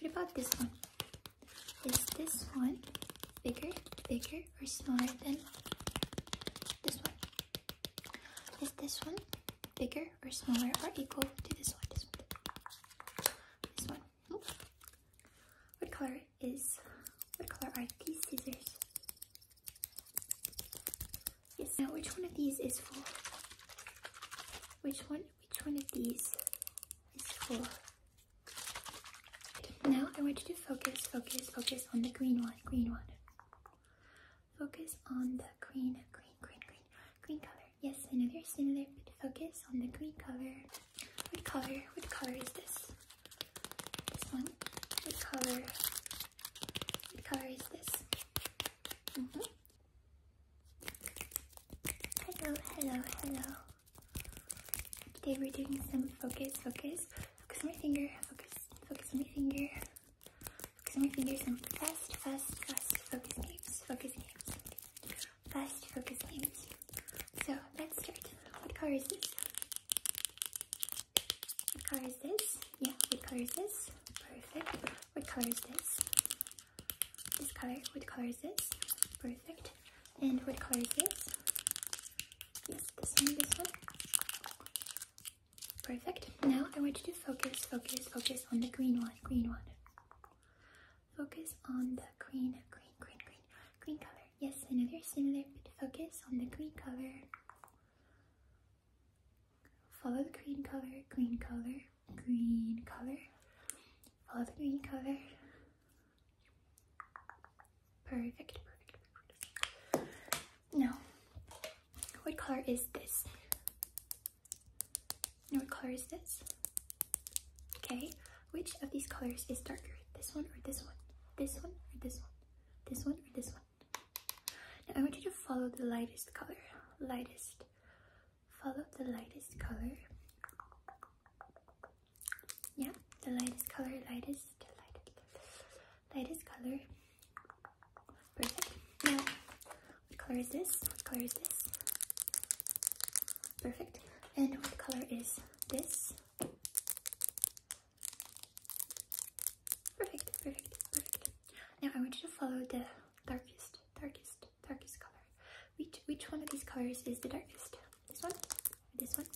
What about this one? Is this one bigger, bigger, or smaller than this one? Is this one bigger or smaller or equal to this one? This one. This one. What color is? What color are these scissors? Yes. Now, which one of these is for? Which one which one of these is for? Now I want you to focus, focus, focus on the green one, green one. Focus on the green, green, green, green, green color. Yes, another similar, but focus on the green color. What color, what color is this? This one. What color, what color is this? Mm-hmm. Hello, hello, hello. Today we're doing some focus, focus, focus on my finger, focus, focus on my finger, focus on my finger, some fast, fast, fast focus games, focus games, fast focus games. So let's start. What color is this? What color is this? Yeah, what color is this? Perfect. What color is this? This color, what color is this? Perfect. And what color is this? Yes, this one, this one. Perfect. Now I want you to focus, focus, focus on the green one, green one. Focus on the green, green, green, green, green color. Yes, another similar, but focus on the green color. Follow the green color, green color green color. Follow the green color. Perfect, perfect, perfect. Now, what color is this? Now, what color is this? Okay, which of these colors is darker? This one or this one? This one or this one? This one or this one? Now, I want you to follow the lightest color. Lightest follow the lightest color. Yeah, the lightest color, lightest, lightest, lightest color. Perfect. Now, what color is this? What color is this? Perfect. And what color is this? Perfect, perfect, perfect. Now I want you to follow the darkest darkest, darkest color. Which which one of these colors is the darkest? This one? This one?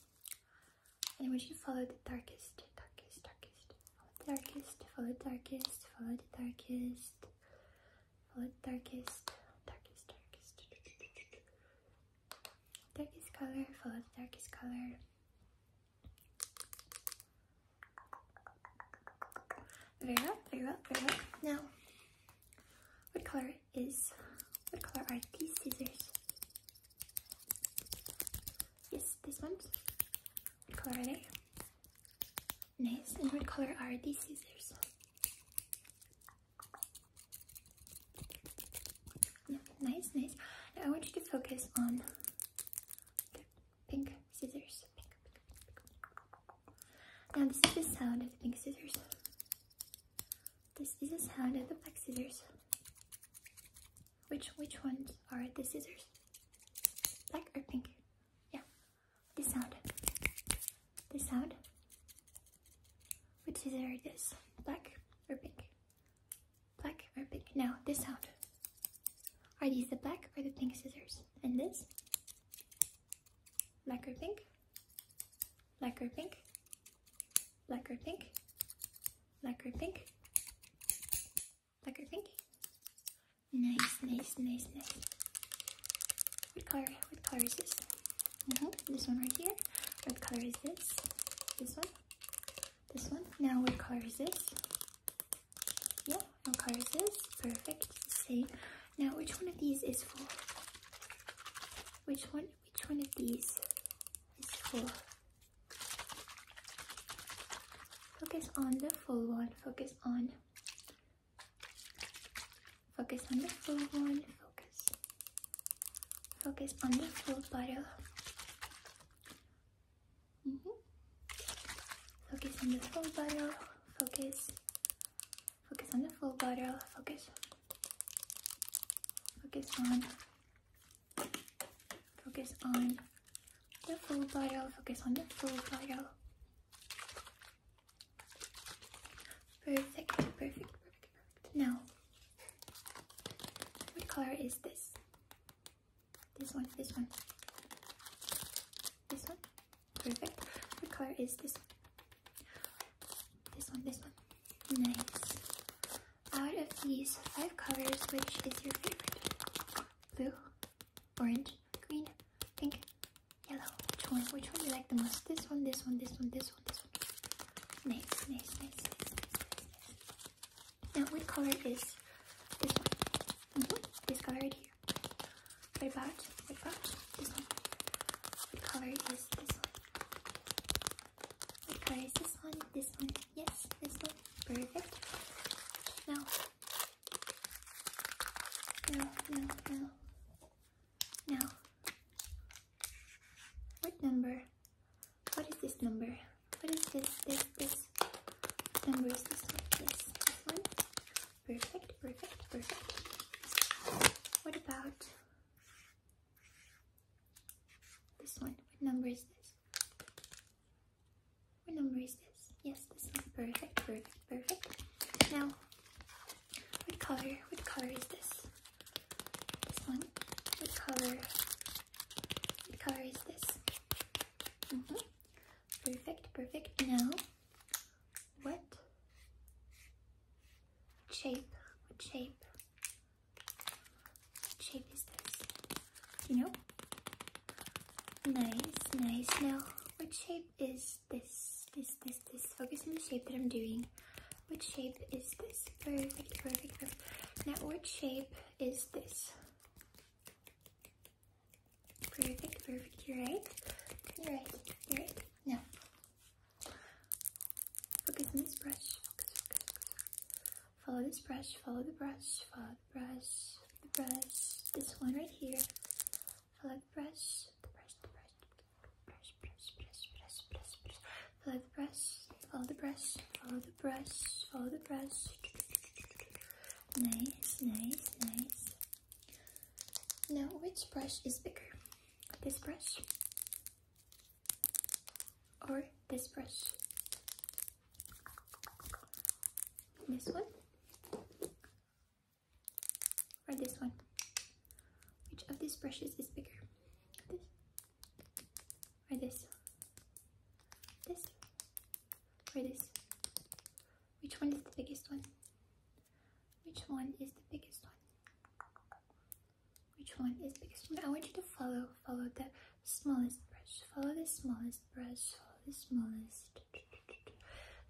And I want you follow the darkest, darkest, darkest. Follow darkest, follow darkest, follow the darkest, follow darkest, darkest, darkest. Darkest color, follow the darkest color. There you go, there you go, there you go. Now, what color is, what color are these scissors? Yes, these ones. What color are they? Nice, and what color are these scissors? nice, nice. Now I want you to focus on pink scissors. Now this is the sound of the pink scissors. This is the sound of the black scissors. Which which ones are the scissors? Black or pink? Yeah. This sound. This sound. Which scissor is this? Black or pink? Black or pink? Now this sound. Are these the black or the pink scissors? And this? Black or pink? Black or pink? Black or pink? Black or pink? Black or pink? Nice, nice, nice, nice. What color, what color is this? Mm -hmm. This one right here. What color is this? This one? This one? Now what color is this? Yeah, no curses. Perfect. It's the same. Now, which one of these is for? Which one? Which one of these is for? Focus on the full one. Focus on. Focus on the full one. Focus. Focus on the full bottle. Mm -hmm. Focus on the full bottle. Focus. Focus on the full bottle. Focus. Focus on. Focus on the full bottle. Focus on the full bottle. Perfect, perfect, perfect, perfect. Now, what color is this? This one, this one, this one. Perfect. What color is this? This one, this one. Nice. Out of these five colors, which is your favorite? Blue, orange, green, pink, yellow. Which one? Which one do you like the most? This one, this one, this one, this one, this one. Nice, nice, nice, nice, nice, nice. Now, what color is this one? Mm-hmm. This color right here. What about, what about this one? What color is this one? What color is this one? This one? Yes, this one. Perfect. Now, no, no, no. Now, what number? What is this number? What is this? This, this number is this one. Yes, this one. Perfect, perfect, perfect. What about this one? What number is this? What number is this? Yes, this one. Perfect, perfect, perfect. Now, what color? What color is this? This one. What color? What color is this? Mm-hmm. Perfect, perfect. Now, what shape, what shape, what shape is this? You know? Nice, nice. Now, what shape is this? This, this, this. Focus on the shape that I'm doing. What shape is this? Perfect, perfect, perfect. Now, what shape is this? Perfect, perfect. You're right. You're right. You're right. Now, focus on this brush. Focus, focus, focus. Follow this brush. Follow the brush. Follow the brush. The brush. This one right here. Follow the brush. The brush. The brush. The brush. Brush. Brush. Brush. Brush. Brush. Follow the brush. Follow the brush. Follow the brush, follow the brush. Nice, nice, nice. Now, which brush is bigger? This brush or this brush? This one or this one? Which of these brushes is bigger? or this, this, or this? Which one is the biggest one? Which one is the biggest one? Which one is biggest one? I want you to follow, follow the smallest brush, follow the smallest brush, follow the smallest,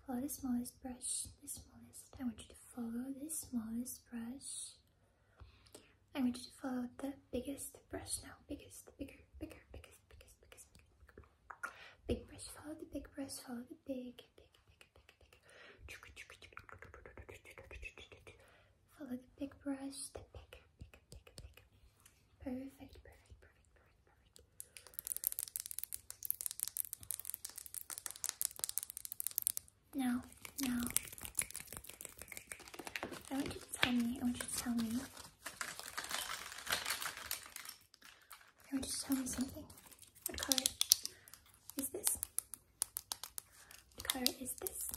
follow the smallest brush, the smallest. I want you to follow the smallest brush. I want you to follow the biggest brush now. Biggest, bigger, bigger, biggest, biggest, biggest, bigger, bigger. Big brush, follow the big brush, follow the big, big, big, big, big. Follow the big brush, the big, big, big, big. Perfect, perfect, perfect, perfect, perfect. Now, now. I want you to tell me. I want you to tell me. I want you to tell me something. What color is this? color is this?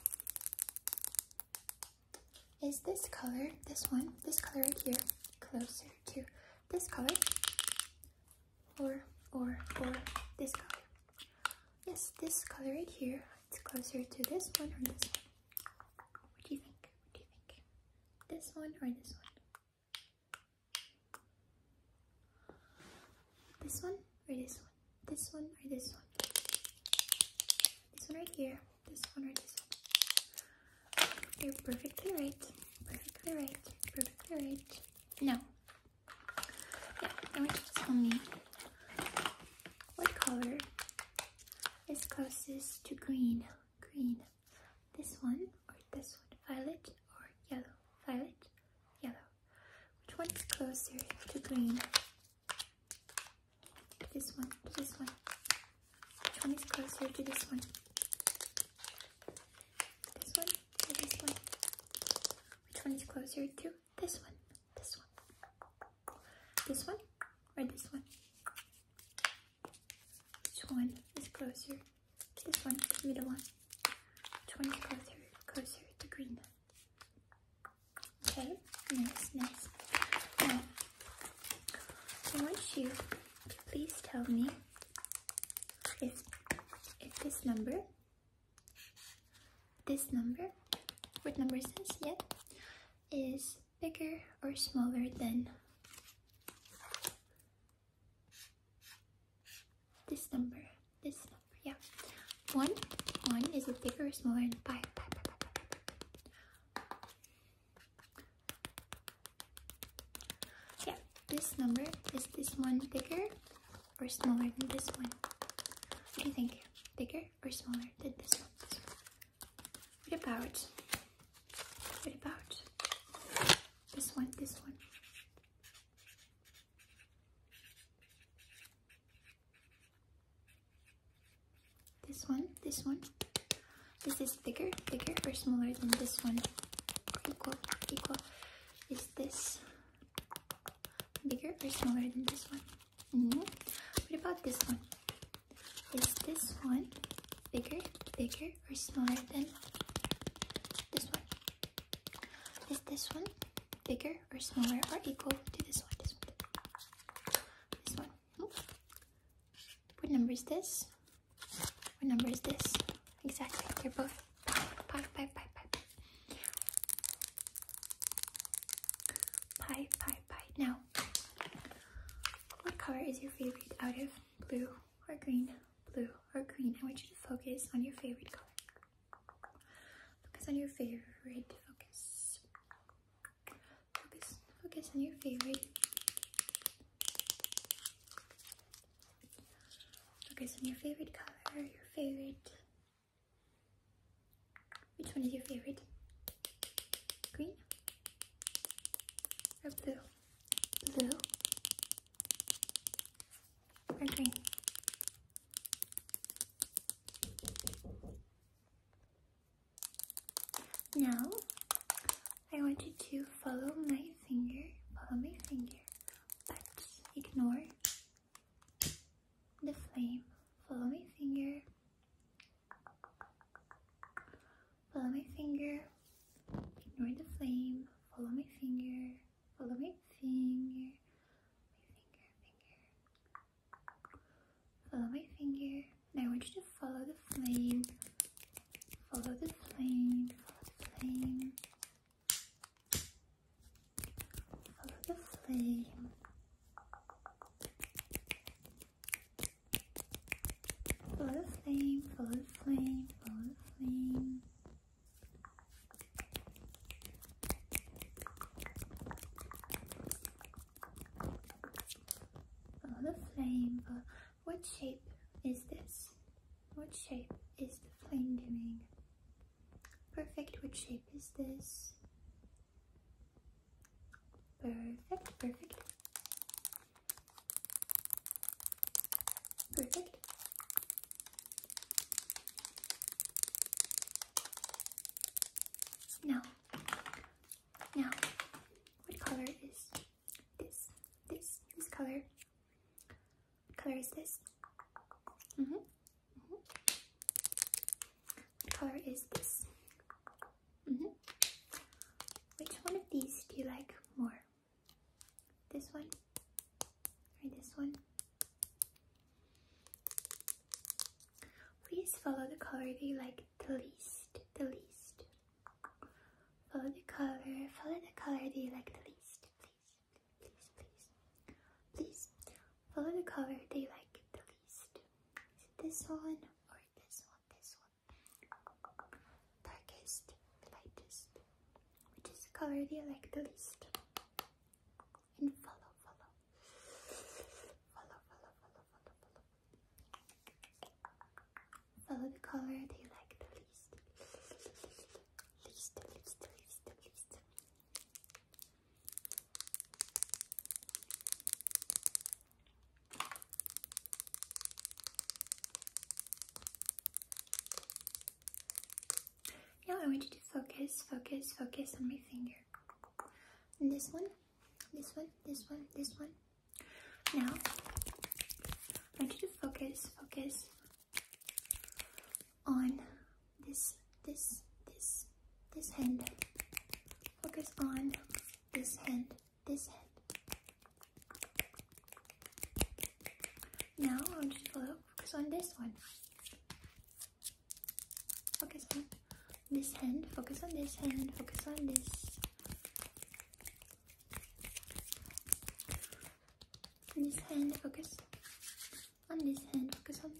Is this color, this one, this color right here, closer to this color? Or, or, or this color? Yes, this color right here it's closer to this one or this one. What do you think? What do you think? This one or this one? This one or this one? This one or this one? This one right here. This one or this one? You're perfectly right. Perfectly right. Perfectly right. No. Yeah, I want you to tell me what color is closest to green? Green. This one or this one? Violet or yellow? Violet, yellow. Which one is closer to green? This one, this one. Which one is closer to this one? This one this one? Which one is closer to this one, this one, this one, or this one. Which one is closer? This one, the middle one. Which one is closer? Closer to green. Okay, nice, nice. Now, I want you to please tell me if, if this number this number, what number is this yet, is bigger or smaller than this number. This number, yeah. One, one is it bigger or smaller than pi, pi, Yeah, this number is this one bigger or smaller than this one? What do you think? Bigger or smaller than this one? This one. What about? What about this one? This one. This one, this one. Is this bigger, bigger or smaller than this one? Equal, equal. Is this Bigger or smaller than this one? Mm-hmm. What about this one? Is this one bigger, bigger, or smaller than this one? Is this one bigger or smaller or equal to this one? This one. This one. What number is this? What number is this? Exactly. They're both. Five, five, five, five. Pie, pie, pie. Now, what color is your favorite out of blue or green? Blue or green? I want you to focus on your favorite color. Focus on your favorite. Focus. Focus. Focus on your favorite. Focus on your favorite color, your favorite which one is your favorite? Green or blue? Blue or green? Now, I want you to follow my finger, follow my finger, but ignore the flame. Follow my finger. Follow my finger. Ignore the flame. Follow my finger. Follow my finger. My finger, finger. Follow my finger. Now I want you to follow the flame. Follow the flame. Follow the flame. Follow the flame. Follow the flame, follow the flame, follow the flame. What shape is this? What shape is the flame doing? Perfect. What shape is this? Perfect, perfect. Perfect. Now, now, what color is this? This, this color color is this? Mm-hmm. Mm-hmm. color is this? Mm-hmm. Which one of these do you like more? This one or this one? Please follow the color that you like the least, the least. Follow the color, follow the color that you like the least, please please, please, please follow the color they like the least. Is it this one or this one? This one, darkest, lightest, which is the color they like the least. And follow, follow, follow, follow, follow, follow, follow. Follow the color they like the least. Now I want you to focus, focus, focus on my finger. this one, this one, this one, this one. Now I want you to focus, focus on this, this, this, this hand. Focus on this hand, this hand. Now I'm just follow, focus on this one. Focus on this hand, focus on this hand, focus on this. On this hand, focus. On this hand, focus on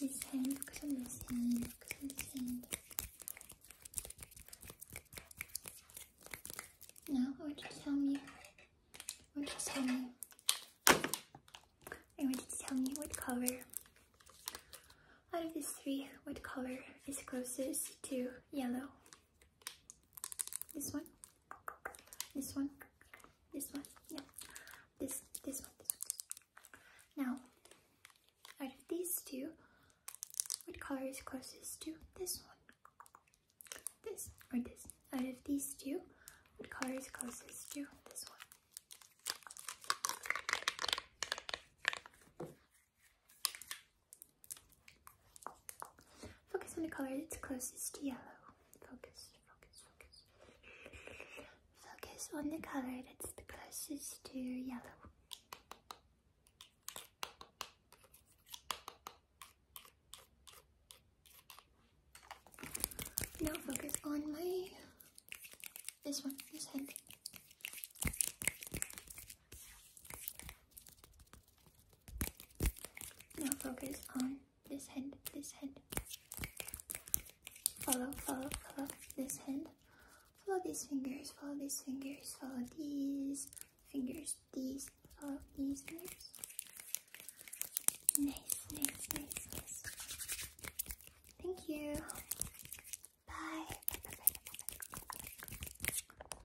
this hand, focus on this hand, focus on this hand. Now, I want to tell me. I want to tell me. I want you to tell me what color. Out of these three, what color is closest to yellow? This one, this one, this one, yeah, this, this one, this one. Now, out of these two, what color is closest to this one? This or this? Out of these two, what color is closest to this one? Focus on the color that's closest to yellow. Focus, focus, focus. Focus on the color that's the closest to yellow. Now focus on my this one, this hand. Now focus on this hand, this hand. Follow, follow, follow this hand. Follow these fingers, follow these fingers, follow these fingers, these, follow these fingers. Nice, nice, nice, nice. Thank you. Bye.